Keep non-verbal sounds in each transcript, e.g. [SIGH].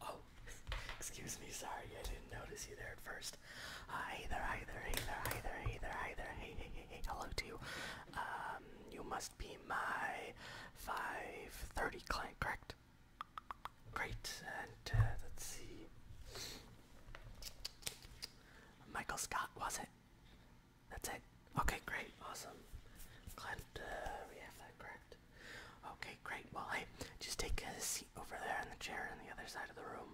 Oh, [LAUGHS] excuse me, sorry, I didn't notice you there at first. Uh, hey there, hey there, hey there, hey there, hey there, hey hey, hey, hey, hello to you. Um, you must be my 530 client, correct? Great, and uh, let's see. Michael Scott, was it? That's it. Okay, great, awesome. Glad uh, we have that correct. Okay, great. Well, hey, just take a seat over there in the chair on the other side of the room,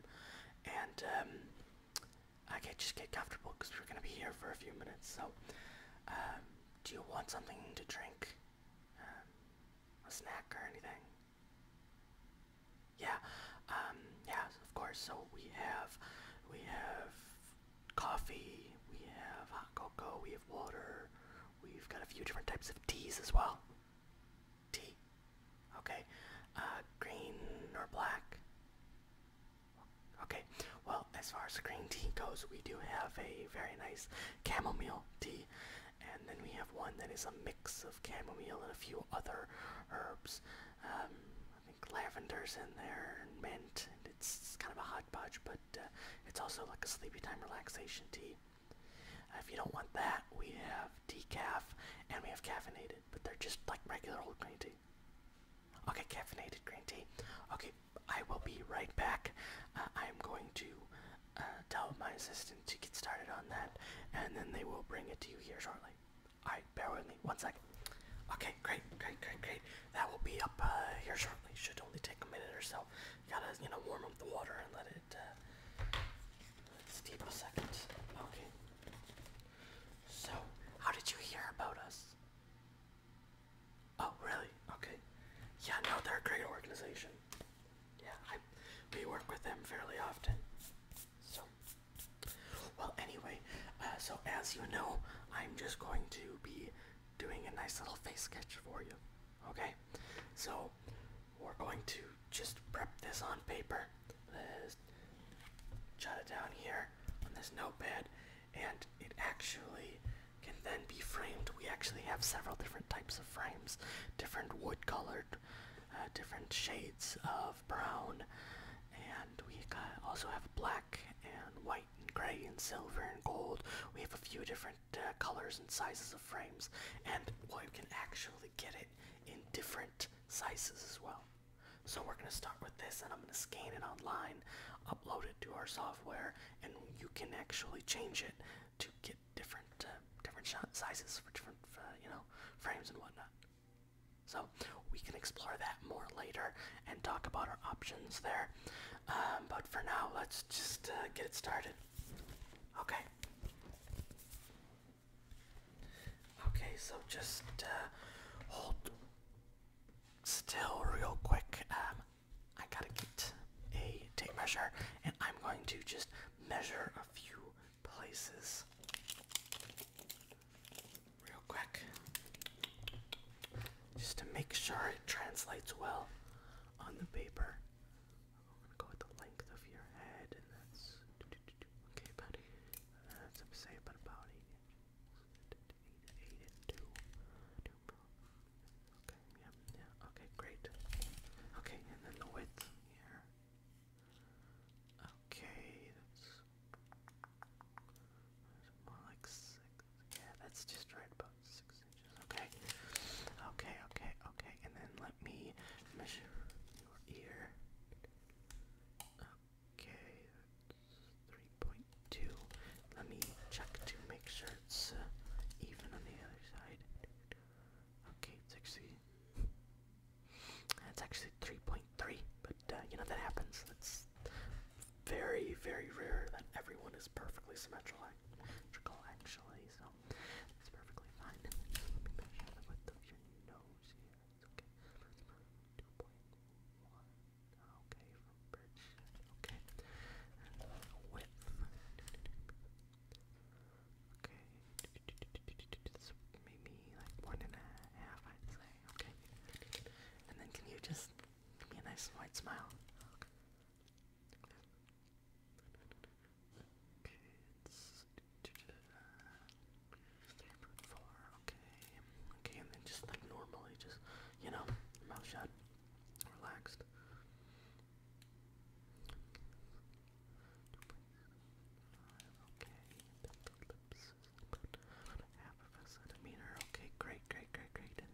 and um, okay, just get comfortable because we're gonna be here for a few minutes. So, um, do you want something to drink? Um, a snack or anything? Yeah, um, yeah, of course. So we have, we have coffee, we have hot cocoa, we have water, we've got a few different types of teas as well. Tea. Okay. Uh, green or black? Okay. Well, as far as green tea goes, we do have a very nice chamomile tea. And then we have one that is a mix of chamomile and a few other herbs. Um, I think lavender's in there and mint, and it's kind of a hot hodgepodge, but uh, it's also like a sleepy time relaxation tea. Uh, if you don't want that, we have decaf and we have caffeinated, but they're just like regular old green tea. Okay, caffeinated green tea. Okay, I will be right back. Uh, I'm going to tell my assistant to get started on that, and then they will bring it to you here shortly. Alright, bear with me. One second. Okay, great, great, great, great. That will be up uh, here shortly. Should only take a minute or so. You gotta, you know, warm up the water and uh, let it steep a second. Okay. So, how did you hear about us? Oh, really? Okay. Yeah, no, they're a great organization. Yeah, I, we work with them fairly often. So, well, anyway, uh, so as you know, I'm just going to be doing a nice little face sketch for you. Okay, so we're going to just prep this on paper. Let's jot it down here on this notepad, and it actually can then be framed. We actually have several different types of frames, different wood-colored, uh, different shades of brown, and we also have black and white and gray and silver and gold. We have a few different uh, colors and sizes of frames, and you can actually get it in different sizes as well. So we're going to start with this, and I'm going to scan it online, upload it to our software, and you can actually change it to get different uh, different sizes for different uh, you know frames and whatnot. So we can explore that more later and talk about our options there. Um, but for now, let's just uh, get it started. Okay. Okay, so just uh, hold still real quick. Um, I gotta get a tape measure and I'm going to just measure a few places real quick just to make sure it translates well on the paper. I'm gonna go with the length of your head, and that's okay, buddy. That's about eight and two. Okay, yeah, yeah. Okay, great. Okay, and then the width here. Okay, that's more like six. Yeah, that's just right about six inches. Okay. Okay, okay, okay. And then let me measure your ear. Okay, 3.2. Let me check to make sure it's uh, even on the other side. Okay, it's That's actually 3.3, but uh, you know that happens. That's very, very rare that everyone is perfectly symmetrical, actually, so it's perfectly fine. okay. 2.1. Okay, from bridge. Okay. width. Okay. maybe like one and a half, I'd say. Okay. And then can you just Give me a nice white smile. Okay, Okay, and then just like normally, just you know, mouth shut, relaxed. Okay, lips, Okay, great, great, great, great,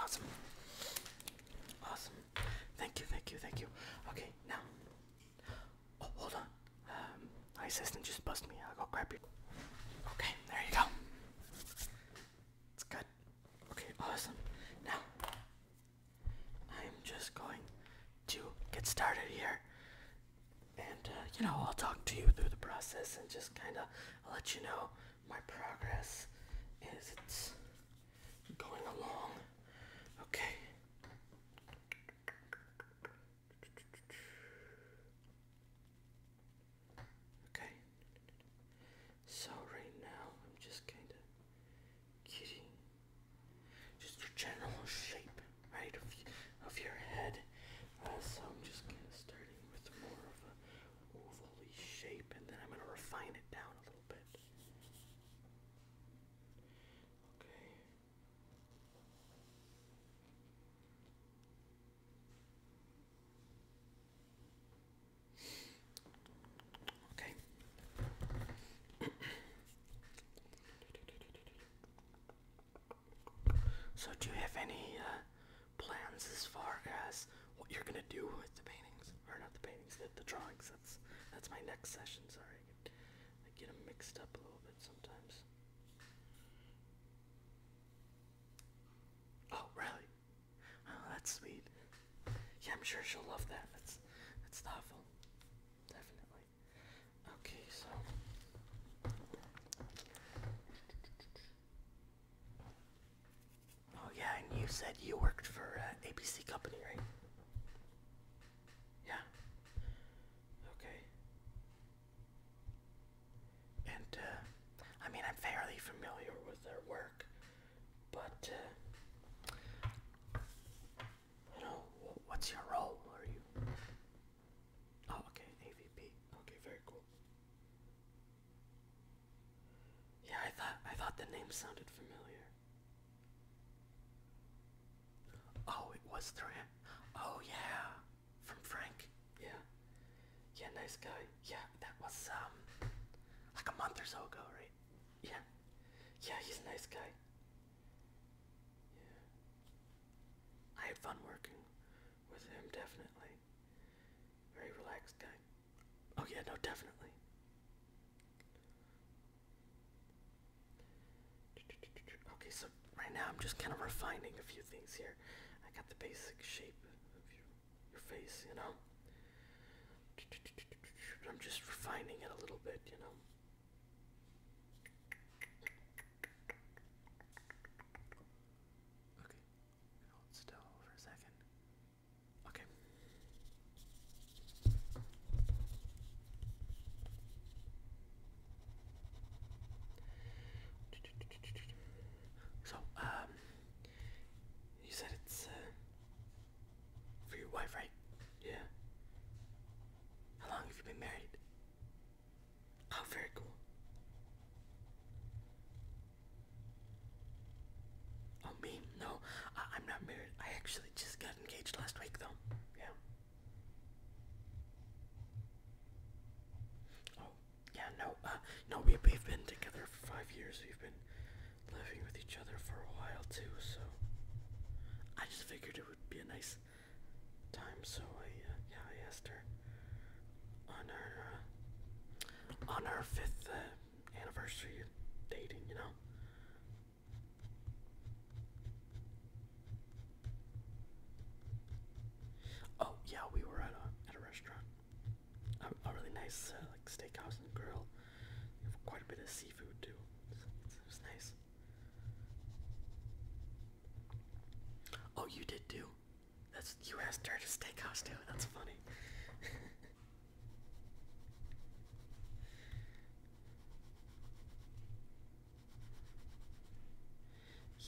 Awesome. Awesome. Thank you, thank you, thank you. Okay, now. Oh, hold on. Um, my assistant just bust me. I'll go grab you. Okay, there you go. It's good. Okay, awesome. Now, I'm just going to get started here. And, uh, you know, I'll talk to you through the process and just kind of let you know my progress is. It's going along. Okay. Okay. So right now I'm just kind of getting just your general shape, right, of, of your head. Uh, so I'm just kind of starting with more of a ovally shape, and then I'm going to refine it down a little bit. Okay. Okay. [COUGHS] so, do you have any uh, plans as far as what you're gonna do with the paintings, or not the paintings, the, the drawings. That's that's my next session. Sorry, I get, them mixed up a little bit sometimes. Oh, really? Oh, that's sweet. Yeah, I'm sure she'll love that. That's that's thoughtful, definitely. Okay, so. Oh yeah, and you said you worked for uh, ABC Company, right? Yeah. Okay. And uh, I mean, I'm fairly familiar with their work, but uh, you know, what's your role? Are you? Oh, okay, AVP. Okay, very cool. Yeah, I thought I thought the name sounded familiar. Oh, it was Durant. Oh yeah, from Frank. Yeah, yeah, nice guy. Yeah, that was um like a month or so ago, right? Yeah, yeah, he's a nice guy. Yeah, I had fun working with him definitely. Very relaxed guy. Oh, yeah, no, definitely. Okay, so right now I'm just kind of refining a few things here. I got the basic shape of your, your face, you know? I'm just refining it a little bit, you know? Okay. Hold still for a second. Okay. So, um, you said it's uh, for your wife, right? Yeah. How long have you been married? Oh, very cool. Oh me? No, I am not married. I actually just got engaged last week, though. Yeah. Oh, yeah. No, uh, no. We have been together for five years. We've been living with each other for a while too. So I just figured it would be a nice time. So I uh, yeah, I asked her on our uh, on our fifth uh, anniversary of dating, you know. Oh yeah, we were at a at a restaurant, a, really nice uh, like steakhouse and grill. We have quite a bit of seafood too. It's, it was nice. Oh, you did too. That's U.S. Church's Steakhouse too. That's funny. [LAUGHS]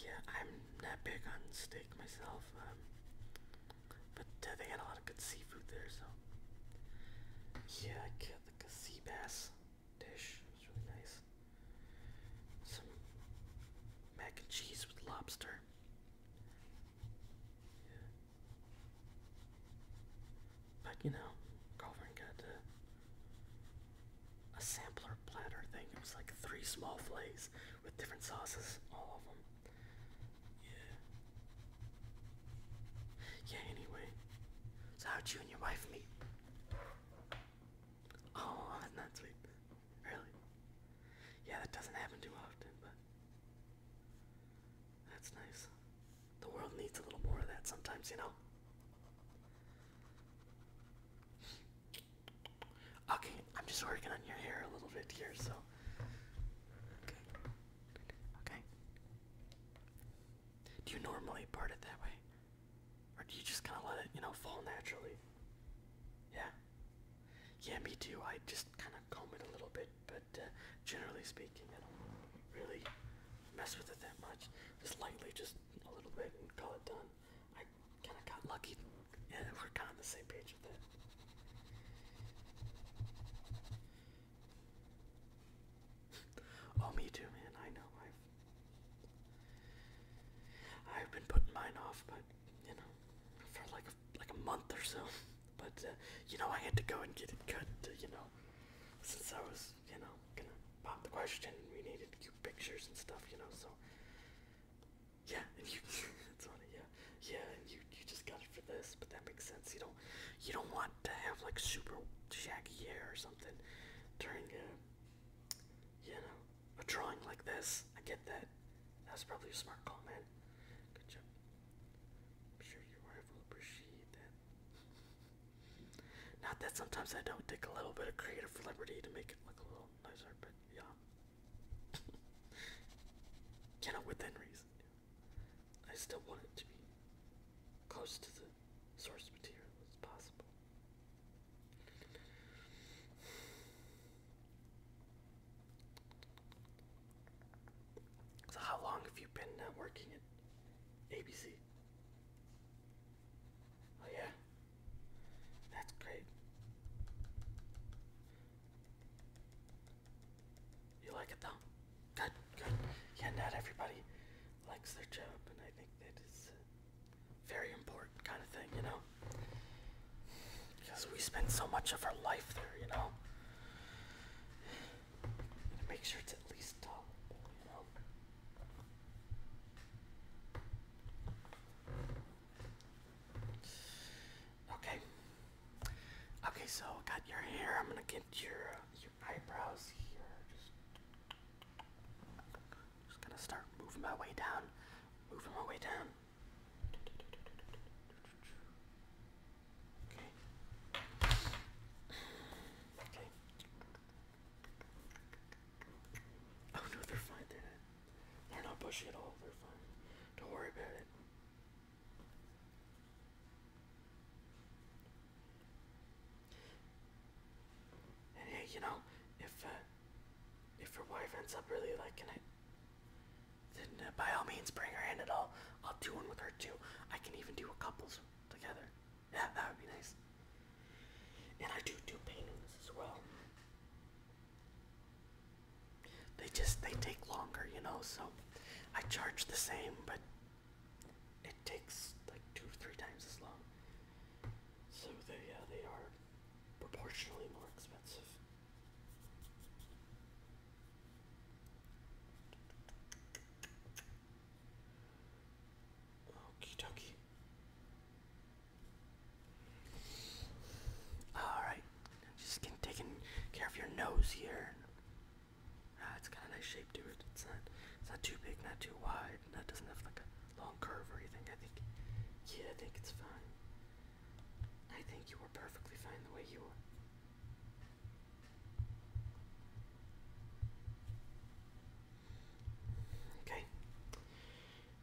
yeah, I'm not big on steak myself, um, but uh, they had a lot of good seafood there, so yeah, I killed the a sea bass dish. It's really nice. Some mac and cheese with lobster. But you know, Colvin got a, sampler platter thing. It was like three small fillets with different sauces, all of them. Yeah. Yeah, anyway. So how'd you and your wife meet? Oh, that's not sweet. Really? Yeah, that doesn't happen too often, but that's nice. The world needs a little more of that sometimes, you know? Okay, I'm just working on your hair a little bit here, so. Okay. Okay. Do you normally part it that way? Or do you just kind of let it, you know, fall naturally? Yeah. Yeah, me too. I just kind of comb it a little bit, but uh, generally speaking, I don't really mess with it that much. Just lightly, just a little bit, and call it done. I kind of got lucky, and yeah, we're kind of on the same page with it. [LAUGHS] oh, me too, man. I know. I've I've been putting mine off, but you know, for like like a month or so. [LAUGHS] But uh, you know, I had to go and get it cut. To, uh, you know, since I was you know gonna pop the question, and we needed cute pictures and stuff. You know, so yeah, and you it's [LAUGHS] funny, yeah, yeah, and you you just got it for this. But that makes sense. You don't you don't want to have like super shaggy hair or something during a you know a drawing like this. I get that. That's probably a smart call, man. Good job. I'm sure your wife will appreciate that. Not that sometimes I don't take a little bit of creative liberty to make it look a little nicer, but yeah. you [LAUGHS] within reason. I still want it to be close to the source material as possible. So, how long have you been uh, working at ABC? Oh, yeah. That's great. You like it though? Good, good. Yeah, not everybody likes their job, and I think that is very important kind of thing, you know? Because we spend so much of our life there, you know? make sure it's at least top, Okay. Okay, so I got your hair. I'm gonna get your uh, your eyebrows here. just gonna start moving my way down. Moving my way down. Okay. Okay. Oh no, they're fine. They're not. bushy at all. They're fine. Don't worry about it. hey, you know, if uh, if your wife ends up really liking it, then uh, by all means bring her in at all. I'll do one with her too. I can even do a couples together. Yeah, that would be nice. And I do do paintings as well. They just they take longer, you know. So I charge the same, but it takes like two or three times as long. So they yeah uh, they are proportionally more expensive. Okie dokie. Alright, just getting taking care of your nose here. Ah, it's got nice shape to It's not, it's not too big, not too wide. That doesn't have like a long curve or anything. I think, yeah, I think it's fine. I think you were perfectly fine the way you were. Okay.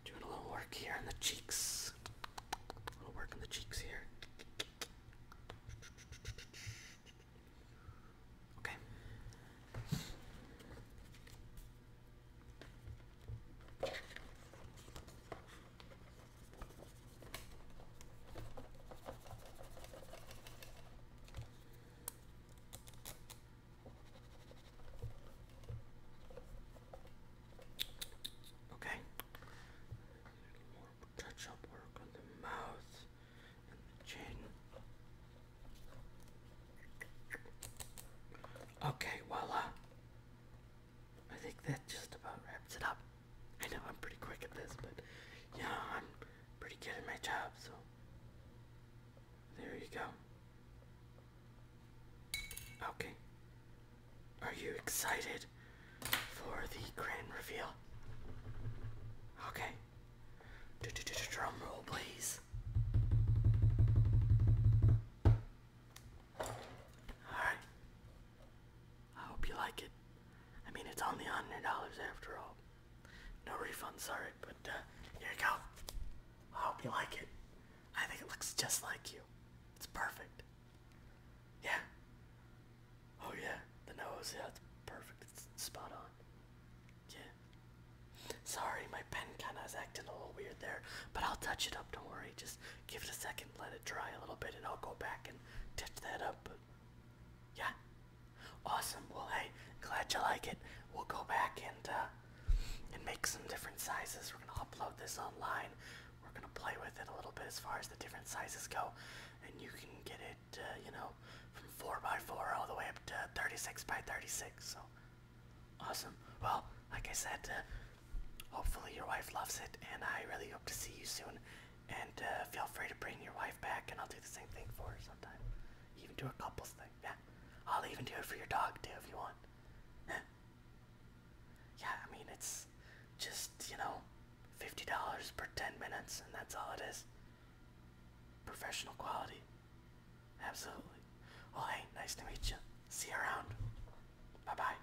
Doing a little work here on the cheeks. A little work on the cheeks here. Okay. Okay. More touch-up work on the mouth and the chin. Okay, voila. I think that just about wraps it up. I know I'm pretty quick at this, but yeah, I'm pretty good at my job, so there you go. Okay. Are you excited for the grand reveal? Okay. Drum roll, please. Alright. I hope you like it. I mean, it's only $100 after all. No refunds, sorry, but uh, here you go. I hope you like it. I think it looks just like you. It's perfect. Yeah. Oh, yeah. The nose, yeah, it's perfect. It's spot on. Yeah. Sorry, my pen kind of is acting a little weird there, but I'll touch it up, don't worry. Just give it a second, let it dry a little bit, and I'll go back and touch that up. Yeah. Awesome. Well, hey, glad you like it. We'll go back and uh, and make some different sizes. We're gonna upload this online. We're gonna play with it a little bit as far as the different sizes go, and you can get it, uh, you know, from four by four all the way up to 36 by 36. So awesome. Well, like I said, uh, Hopefully, your wife loves it, and I really hope to see you soon. And uh, feel free to bring your wife back, and I'll do the same thing for her sometime. Even do a couples thing. Yeah, I'll even do it for your dog too if you want. [LAUGHS] yeah, I mean it's just you know, fifty dollars per ten minutes, and that's all it is. Professional quality. Absolutely. Well, hey, nice to meet you. See you around. Bye bye.